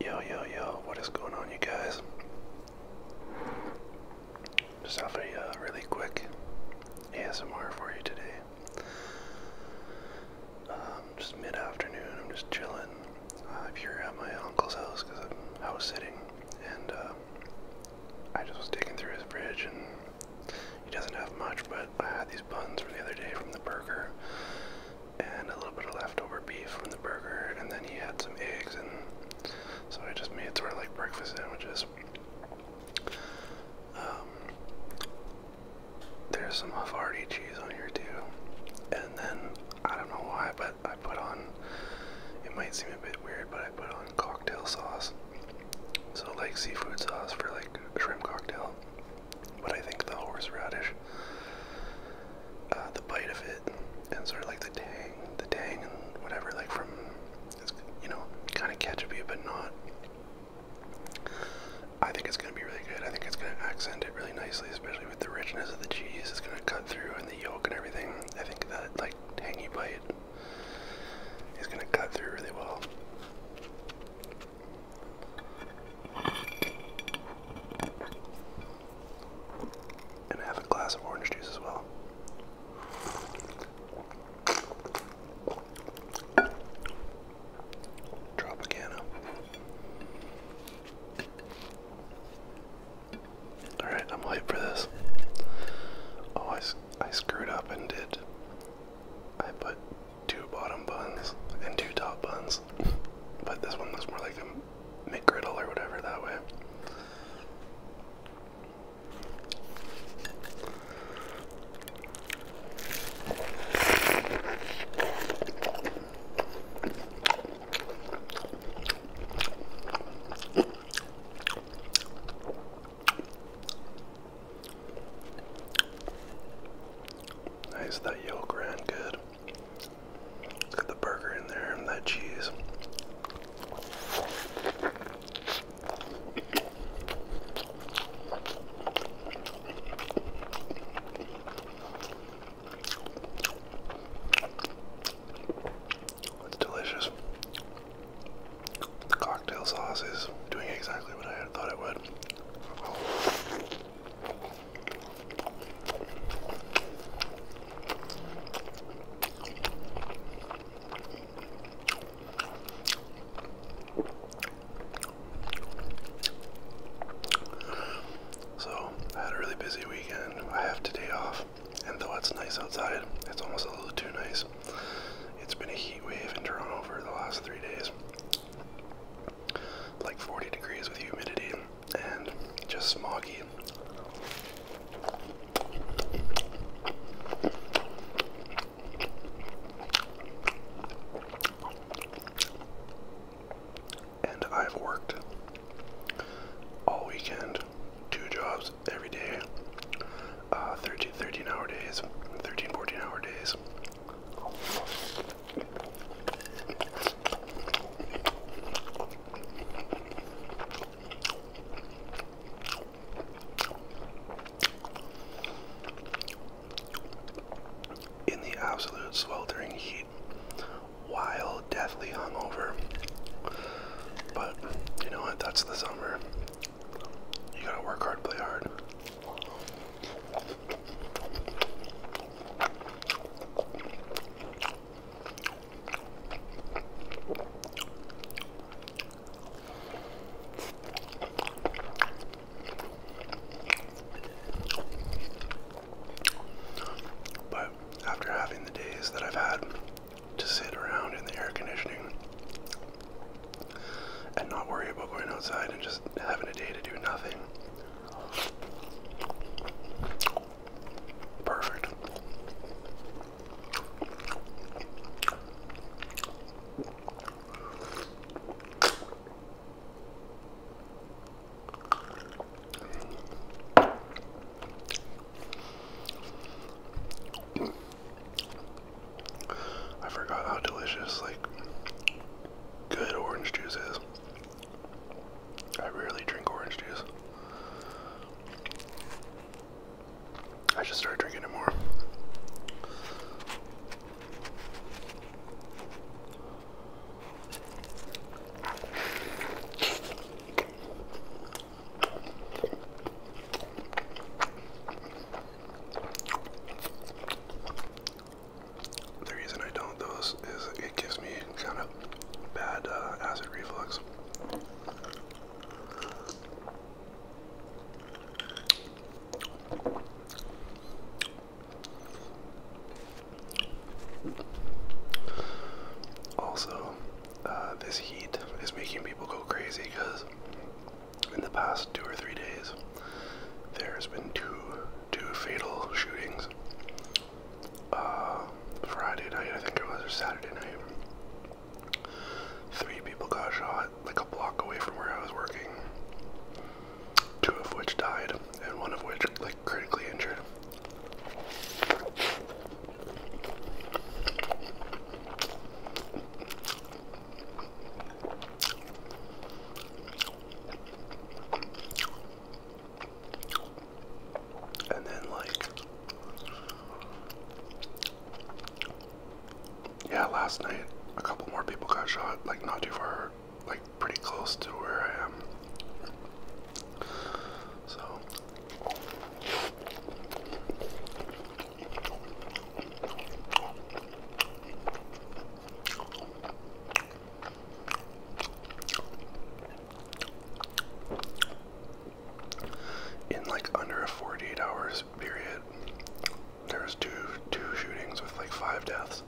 Yo, yo, yo, what is going on, you guys? Just have a uh, really quick ASMR for you today. Um, just mid afternoon, I'm just chilling. Uh, I'm here at my uncle's house because i was sitting, and uh, I just was digging through his fridge, and he doesn't have much, but I had these buns from the other day from the burger and a little bit of leftover beef from the burger, and then he had some eggs, and so I just made sort of like breakfast sandwiches. Um, there's some Havarti cheese on here too, and then I don't know why, but I put on. It might seem a bit weird, but I put on cocktail sauce, so like seafood sauce for like shrimp cocktail but I think the horseradish, uh, the bite of it, and sort of like the tang, the tang and whatever, like from, you know, kind of ketchupy but not. I think it's going to be really good. I think it's going to accent it really nicely, especially with the richness of the cheese. It's going to cut through and the yolk and everything. I think that like tangy bite is going to cut through really well. And have a glass of orange juice as well. Tropicana. Alright, I'm hyped for this. Oh, I, I screwed up and did. I put two bottom buns and two top buns. But this one looks more like a McGriddle or whatever that way. Nice, that yolk ran good. got the burger in there and that cheese. It's delicious cocktail sauce is doing exactly what I had thought it would. So, I had a really busy weekend. I have today off, and though it's nice outside, it's almost a little too nice. It's been a heat wave in Toronto for the last three days. Like 40 degrees with humidity and just smoggy. And I've worked all weekend, two jobs every day, uh, 13, 13 hour days, 13, 14 hour days. In the absolute sweltering heat, while deathly hungover. But you know what? That's the summer. You gotta work hard, play hard. But after having the days that I've had to sit around in the air conditioning and not worry about going outside and just having a day to do nothing. Perfect. I forgot how delicious, like, good orange juice is. I rarely drink orange juice. I just start drinking it more. The reason I don't those is it gives me kind of bad uh, acid reflux. Also, uh, this heat is making people go crazy because in the past two or three days, there's been two two fatal shootings. Uh, Friday night, I think it was, or Saturday night. Three people got shot like a block away from where I was working. Two of which died, and one of which like critically injured. And then, like, yeah, last night a couple more people got shot, like, not too far, like, pretty close to where I am. So in like under a 48 hours period, there was two two shootings with like five deaths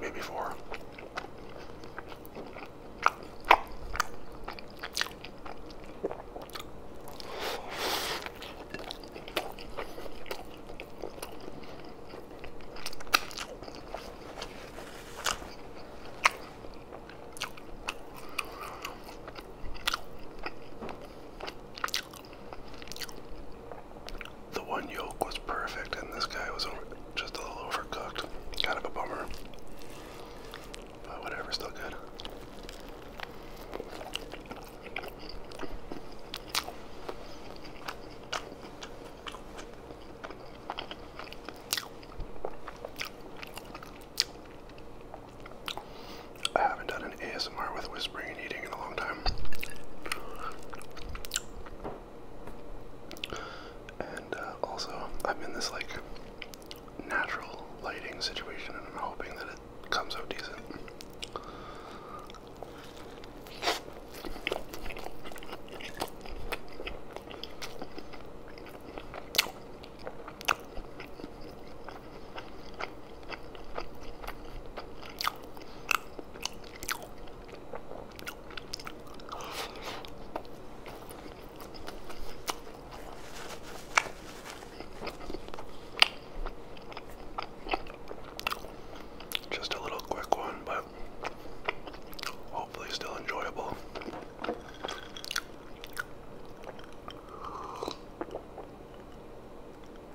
maybe four. The one yolk was perfect, and this guy was over, just a little overcooked. Kind of a bummer. But whatever, still good. I haven't done an ASMR with whispering and eating in a long time. And uh, also, I'm in this like natural lighting situation, and I'm hoping that it comes out decent. Just a little quick one, but hopefully still enjoyable.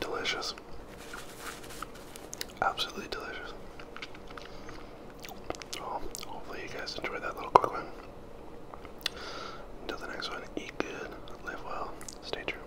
Delicious. Absolutely delicious. Well, hopefully, you guys enjoyed that little quick one. Until the next one, eat good, live well, stay true.